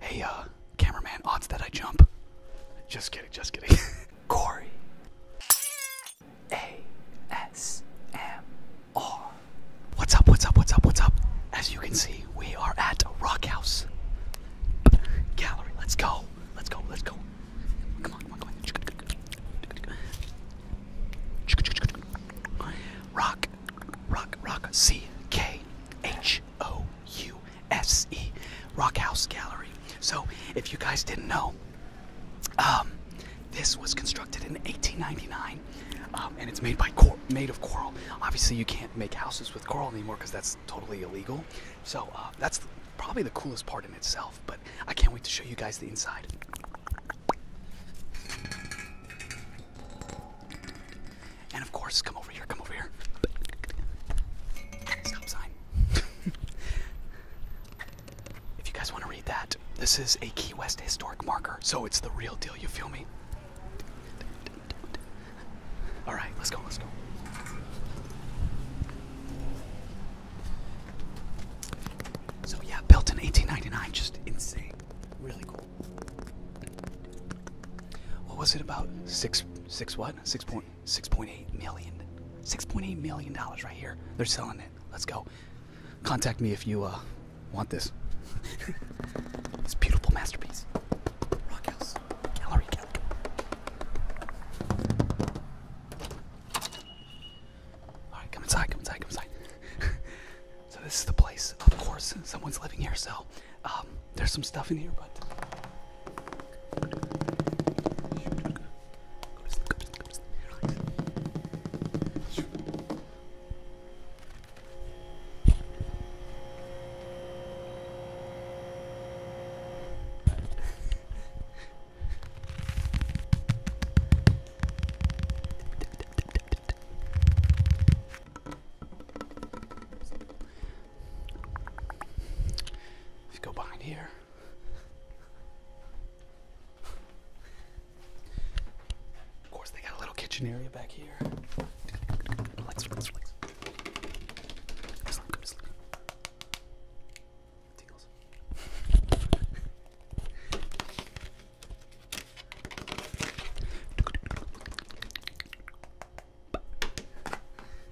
Hey, uh, cameraman, odds that I jump. Just kidding, just kidding. Corey. A-S-M-R. What's up, what's up, what's up, what's up? As you can see, we are at Rock House Gallery. Let's go, let's go, let's go. Come on, come on, come on. Rock, rock, rock, C-K. H O U S E, Rock House Gallery. So, if you guys didn't know, um, this was constructed in 1899, um, and it's made by made of coral. Obviously, you can't make houses with coral anymore because that's totally illegal. So uh, that's probably the coolest part in itself. But I can't wait to show you guys the inside. And of course, come over here, come over here. Stop sign. if you guys want to read that, this is a Key West historic marker, so it's the real deal, you feel me? All right, let's go, let's go. So yeah, built in 1899, just insane, really cool. What was it about? Six, six what? Six point, six point eight million. Six point eight million dollars right here. They're selling it. Let's go. Contact me if you uh, want this. this beautiful masterpiece. All right, come inside. Come inside. Come inside. So this is the place. Of course, someone's living here, so um, there's some stuff in here, but. If you go behind here. Of course, they got a little kitchen area back here. Relax, relax, relax. Go to sleep, go to sleep.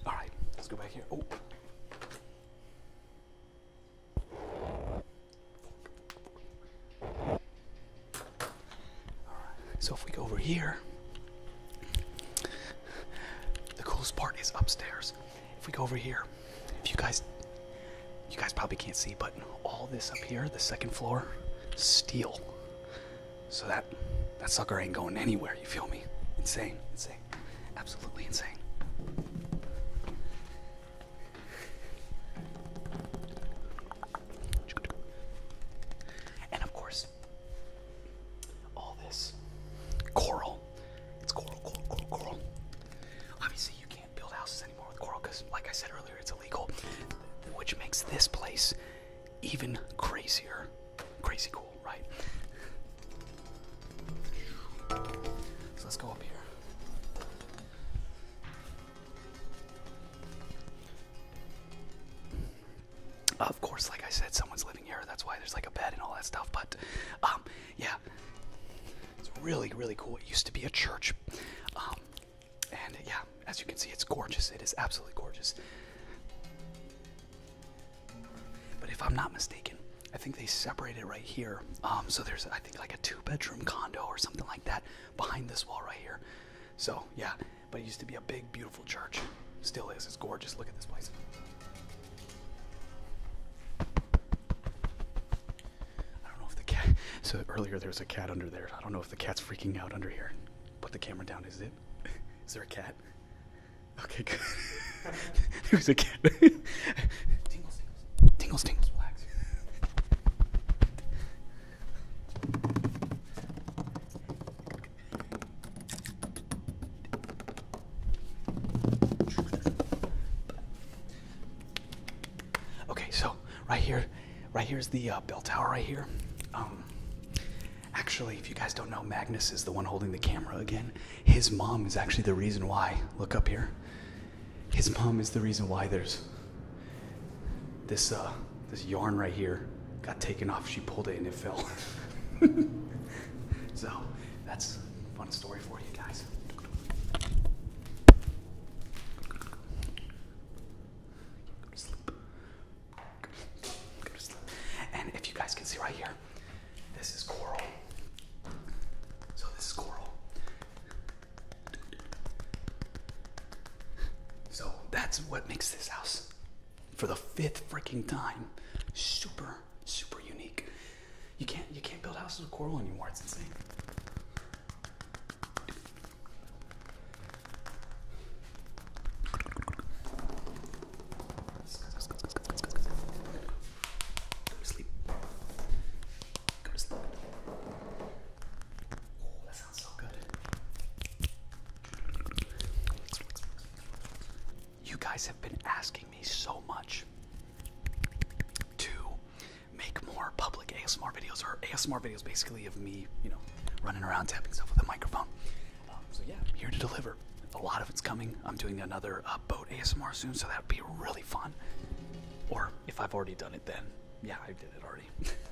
All right, let's go back here. Oh. All right. So if we go over here, the coolest part is upstairs. If we go over here, if you guys, you guys probably can't see, but all this up here, the second floor, steel. So that that sucker ain't going anywhere. You feel me? Insane, insane, absolutely insane. And of course, all this coral. It's coral, coral, coral, coral. Obviously, you can't build houses anymore with coral because, like I said earlier, it's illegal, which makes this place even crazier. Crazy cool, right? So let's go up here. Of course, like I said, someone's living here. That's why there's like a bed and all that stuff. But um, yeah, it's really, really cool. It used to be a church. Um, and yeah, as you can see, it's gorgeous. It is absolutely gorgeous. But if I'm not mistaken, I think they separated right here. Um, so there's, I think, like a two bedroom condo or something like that behind this wall right here. So yeah, but it used to be a big, beautiful church. Still is. It's gorgeous. Look at this place. I don't know if the cat. So earlier there was a cat under there. I don't know if the cat's freaking out under here. Put the camera down. Is it? Is there a cat? Okay, good. there was a cat. Tingles, tingles. Relax. Okay, so right here, right here's the uh, bell tower right here. Um, actually, if you guys don't know, Magnus is the one holding the camera again. His mom is actually the reason why. Look up here. His mom is the reason why there's this uh, this yarn right here got taken off. She pulled it and it fell. so that's a fun story for you guys. And if you guys can see right here, this is coral. So this is coral. So that's what makes this house for the fifth freaking time. Super, super unique. You can't you can't build houses of coral anymore. It's insane. Go sleep. Go sleep. Oh, that sounds so good. You guys have been asking me so much to make more public ASMR videos, or ASMR videos basically of me, you know, running around tapping stuff with a microphone. Um, so, yeah, here to deliver. A lot of it's coming. I'm doing another uh, boat ASMR soon, so that would be really fun. Or if I've already done it, then yeah, I did it already.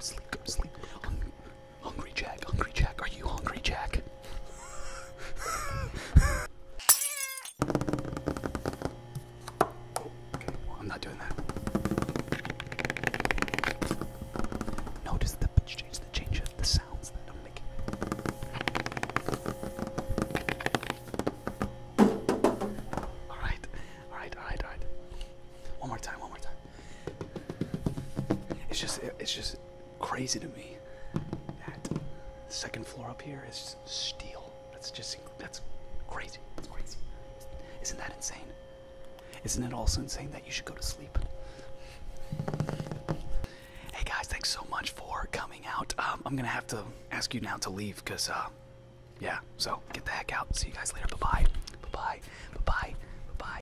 Sleep, sleep. hungry Jack, hungry Jack, are you hungry Jack? Oh, well, I'm not doing that. Notice the pitch change that changes the sounds that I'm making. Alright, alright, alright, alright. One more time, one more time. It's just, it's just, crazy to me. That second floor up here is steel. That's just that's crazy. That's crazy. Isn't that insane? Isn't it also insane that you should go to sleep? Hey guys, thanks so much for coming out. Um, I'm gonna have to ask you now to leave because, uh, yeah. So get the heck out. See you guys later. Bye bye. Bye bye. Bye bye. Bye bye.